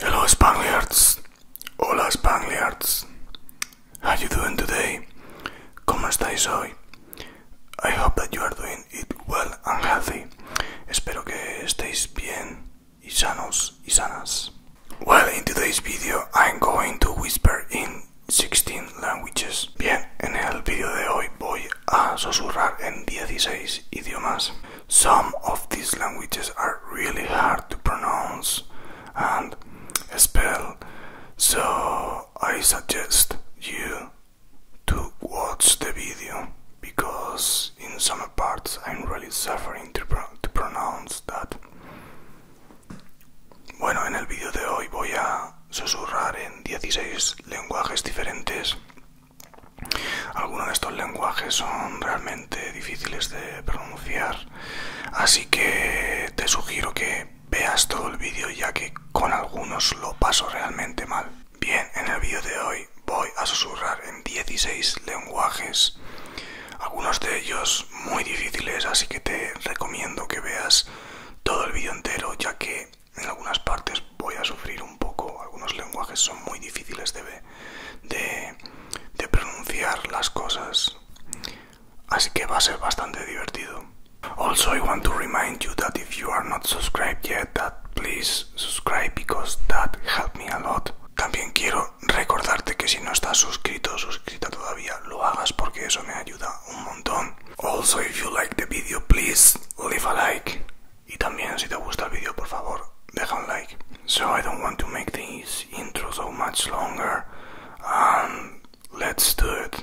Hello Spaniards, hola Spaniards, how you doing today? ¿Cómo estáis hoy? I hope that you are doing it well and healthy. Espero que estéis bien y sanos y sanas. Well, in today's video I'm going to whisper in 16 languages. Bien, en el vídeo de hoy voy a susurrar en 16 idiomas. Some of these languages are really hard to pronounce and spell, so I suggest you to watch the video because in some parts I'm really suffering to pronounce that. Bueno, en el vídeo de hoy voy a susurrar en 16 lenguajes diferentes. Algunos de estos lenguajes son realmente difíciles de pronunciar, así que te sugiero que veas todo el vídeo ya que con algunos lo paso realmente mal. Bien, en el vídeo de hoy voy a susurrar en 16 lenguajes algunos de ellos muy difíciles, así que te recomiendo que veas todo el vídeo entero, ya que en algunas partes voy a sufrir un poco, algunos lenguajes son muy difíciles de, de, pronunciar las cosas, así que va a ser bastante divertido. Also, want to remind you that if you are not También quiero recordarte que si no estás suscrito o suscrita todavía, lo hagas porque eso me ayuda un montón. Also, if you like the video, please leave a like. Y también si te gusta el vídeo, por favor, deja un like. So I don't want to make this so much longer. let's do it.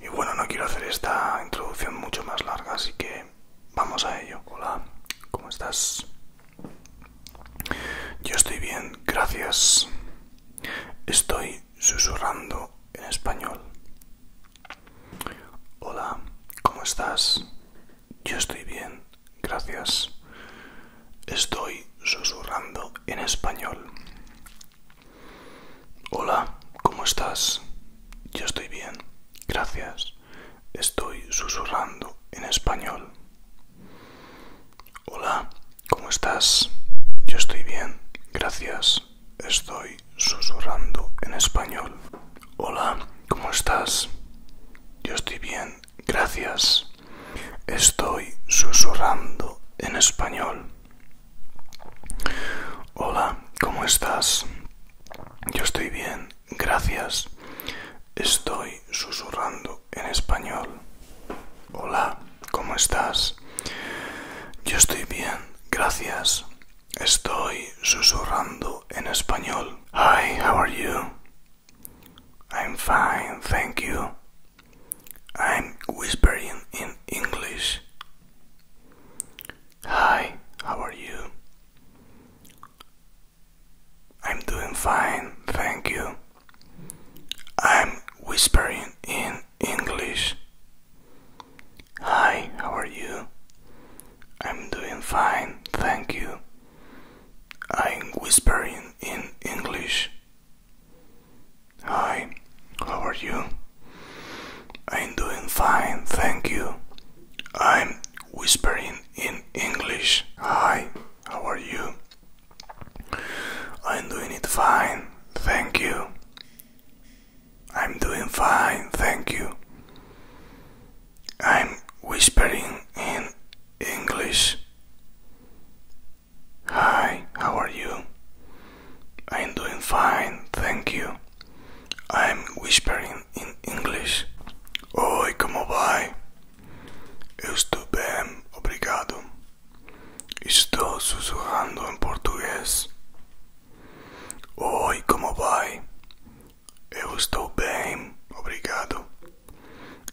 Y bueno, no quiero hacer esta introducción mucho más larga, así que vamos a ello. Hola, ¿cómo estás? Yo estoy bien, gracias. Estoy susurrando en español. Hola, ¿cómo estás? Yo estoy bien, gracias. Estoy susurrando en español. Hola, ¿cómo estás? Yo estoy bien, gracias. Estoy susurrando en español. Hola, ¿cómo estás? Yo estoy bien, gracias. Estoy susurrando en español. Hola, ¿cómo estás? Yo estoy bien, gracias. Estoy susurrando en español. Hola, ¿cómo estás? Yo estoy bien, gracias. Estoy susurrando en español. Hola, ¿cómo estás? Yo estoy bien, gracias. Estoy susurrando en español. Hi, how are you? I'm fine, thank you. I'm whispering in English. Hi, how are you? I'm doing fine, thank you. I'm whispering in English. Hi, how are you? I'm doing fine, thank you. I'm whispering in English. Hi, how are you? I'm doing fine, thank you. I'm whispering in English. Hi, how are you? I'm doing it fine, thank you. I'm doing fine, thank you. I'm whispering in English. Hi, how are you? I'm doing fine, thank you. I'm whispering in English. Oi, como vai? Eu estou bem, obrigado. Estou sussurrando em português. Oi, como vai? Eu estou bem, obrigado.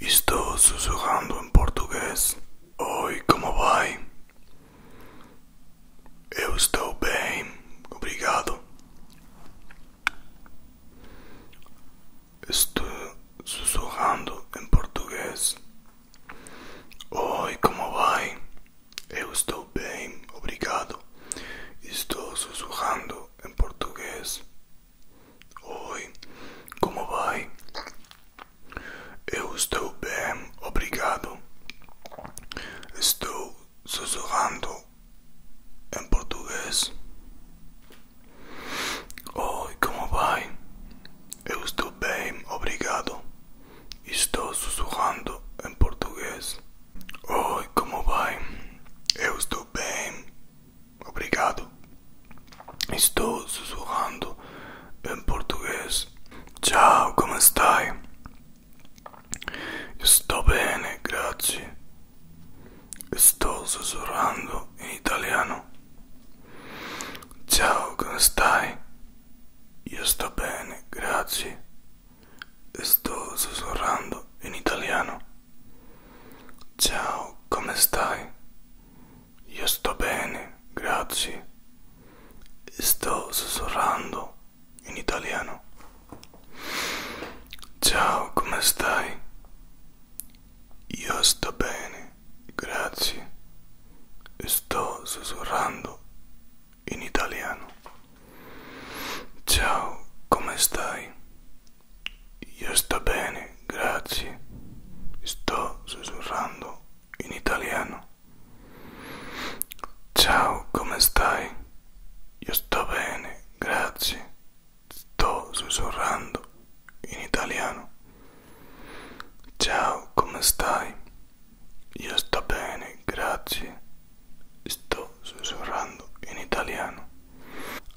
Estou sussurrando em português. Oi, como vai? Eu estou bem, obrigado. Estou sussurrando em português. Oi, como vai? Eu estou bem, obrigado. Estou sussurrando em português. Oi, como vai? Eu estou bem, obrigado. Estou sussurrando em português. Oi, como vai? Eu estou bem, obrigado. Estou sussurrando em português. Oi, como vai? Eu estou bem, obrigado. Estou sussurrando em português. Tchau, como estás? Estou bem, grazie. Sto sussurrando in italiano. Ciao, come stai? Io sto bene, grazie. Sto sussurrando in italiano. Ciao, come stai? Io sto bene, grazie. Sto sussurrando in italiano. Ciao, come stai? Io sto bene, grazie. Sto sussurrando in italiano. Ciao, come stai? Io sto bene, grazie. Sto sussurrando in italiano. Ciao, come stai? Io sto bene, grazie. sto susurrando in italiano. Ciao, come stai? Io sto bene, grazie. Sto susurrando in italiano.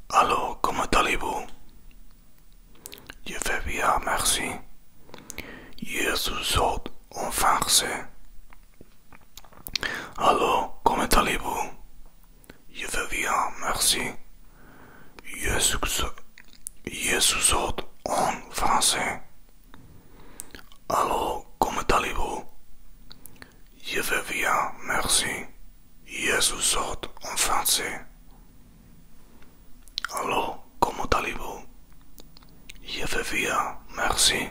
Allô, comment allez-vous? Je vais bien, merci. Je suis en français. Alors, comment allez-vous Je vais bien, merci. Je suis, je suis en français. Alors, comment allez-vous Je vais bien, merci. Je suis en français. Alors, comment allez-vous Je vais bien, merci.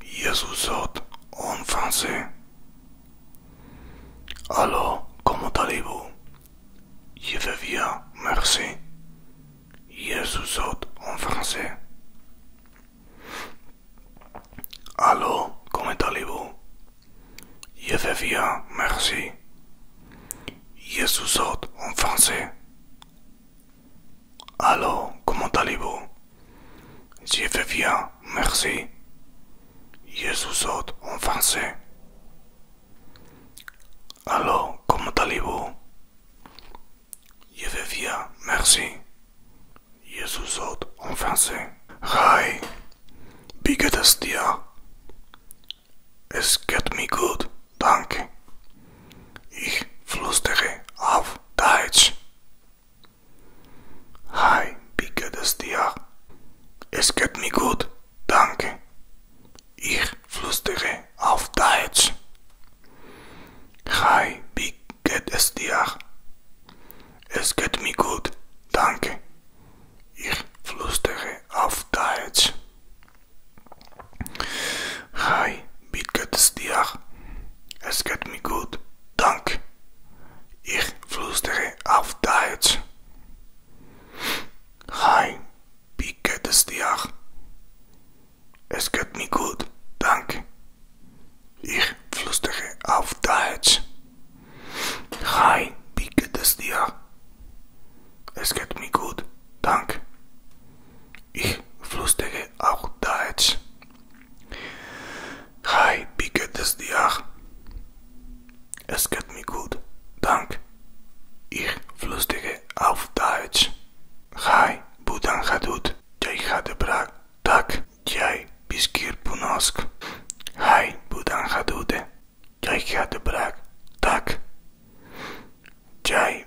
Jesusot en français. Allô, comment allez-vous? Je vais bien, merci. Jesusot en français. Allô, comment allez-vous? Je vais bien, merci. Jesusot en français. Allô, comment allez-vous Je veux bien, merci. Je vous en français. Allô, comment allez-vous Je veux bien, merci. Je vous en français. Hi, biggest dia. Es geht mir gut, danke. Ich flüstere auf Deutsch. Hi, wie geht es dir? Es geht mir gut, danke. Ich flüstere auf Deutsch. Hi, wie geht es dir? Es geht mir gut, danke. Ich flüstere auf Deutsch. Hi, wie geht es dir? Es geht mir gut, danke. Ich flüstere auf Deutsch. Hi, wie geht es dir? Es geht mir gut, danke. Ich flüstere auf Deutsch. Hi, wie geht es dir? Es geht mir gut, danke. Ich flüstere auf Deutsch. Hi, wie geht es dir? Es geht mir gut, dank. Ich flüstere auf Deutsch. Hi, Budan Hadut. Jai Hadebra. Tak. Jai Biskir Punosk. Hi, Budan Hadude. Jai Hadebra. Tak. Jai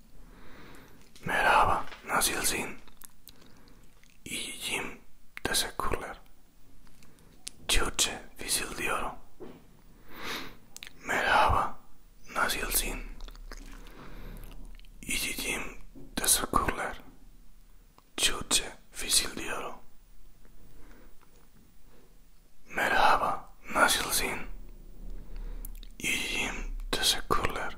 Merhaba, nasılsın? İyiyim, teşekkürler. Türkçe fısıldıyorum. Merhaba, nasılsın? İyiyim, teşekkürler. Türkçe fısıldıyorum. Merhaba, nasılsın? İyiyim, teşekkürler.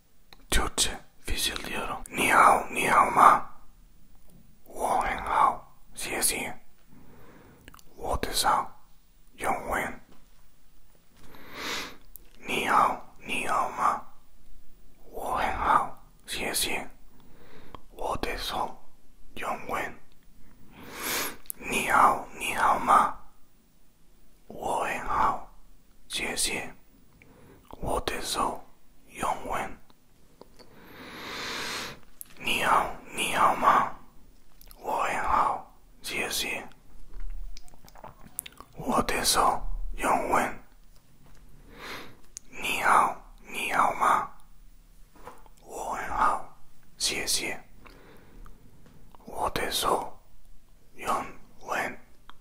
你好，你好吗？我很好，谢谢。我叫杨文。你好，你好吗？我很好，谢谢。我手，杨文。你好，你好吗？我很好，谢谢。我的手永远。你好，你好吗？我很好，谢谢。我的手永远。你好，你好吗？我很好，谢谢。我的手永远。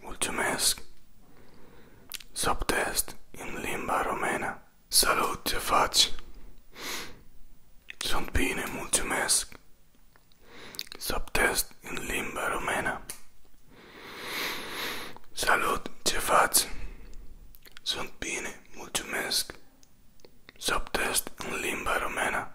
Mulțumesc. Subtest în limba romena. Salut, ce faci? Sunt bine, mulțumesc. Subtest în limba romena. Salut, ce faci? Sunt bine, mulțumesc. Subtest în limba romena.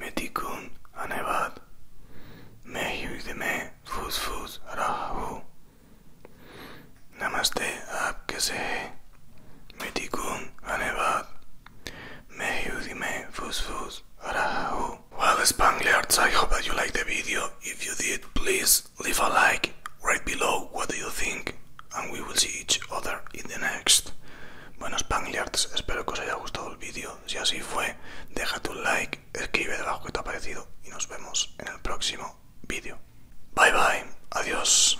मैं तिकुन अनेवाद मैं हिंदी में फूस फूस रहा हूँ नमस्ते आप कैसे हैं मैं तिकुन अनेवाद मैं हिंदी में फूस फूस रहा हूँ Well, Spangliards, I hope that you liked the video. If you did, please leave a like right below what do you think and we will see each other in the next. Bueno, Spangliards, espero que os haya gustado el vídeo. Si así fue, deja tu like, escribe debajo que te ha parecido y nos vemos en el próximo vídeo. Bye bye, adiós.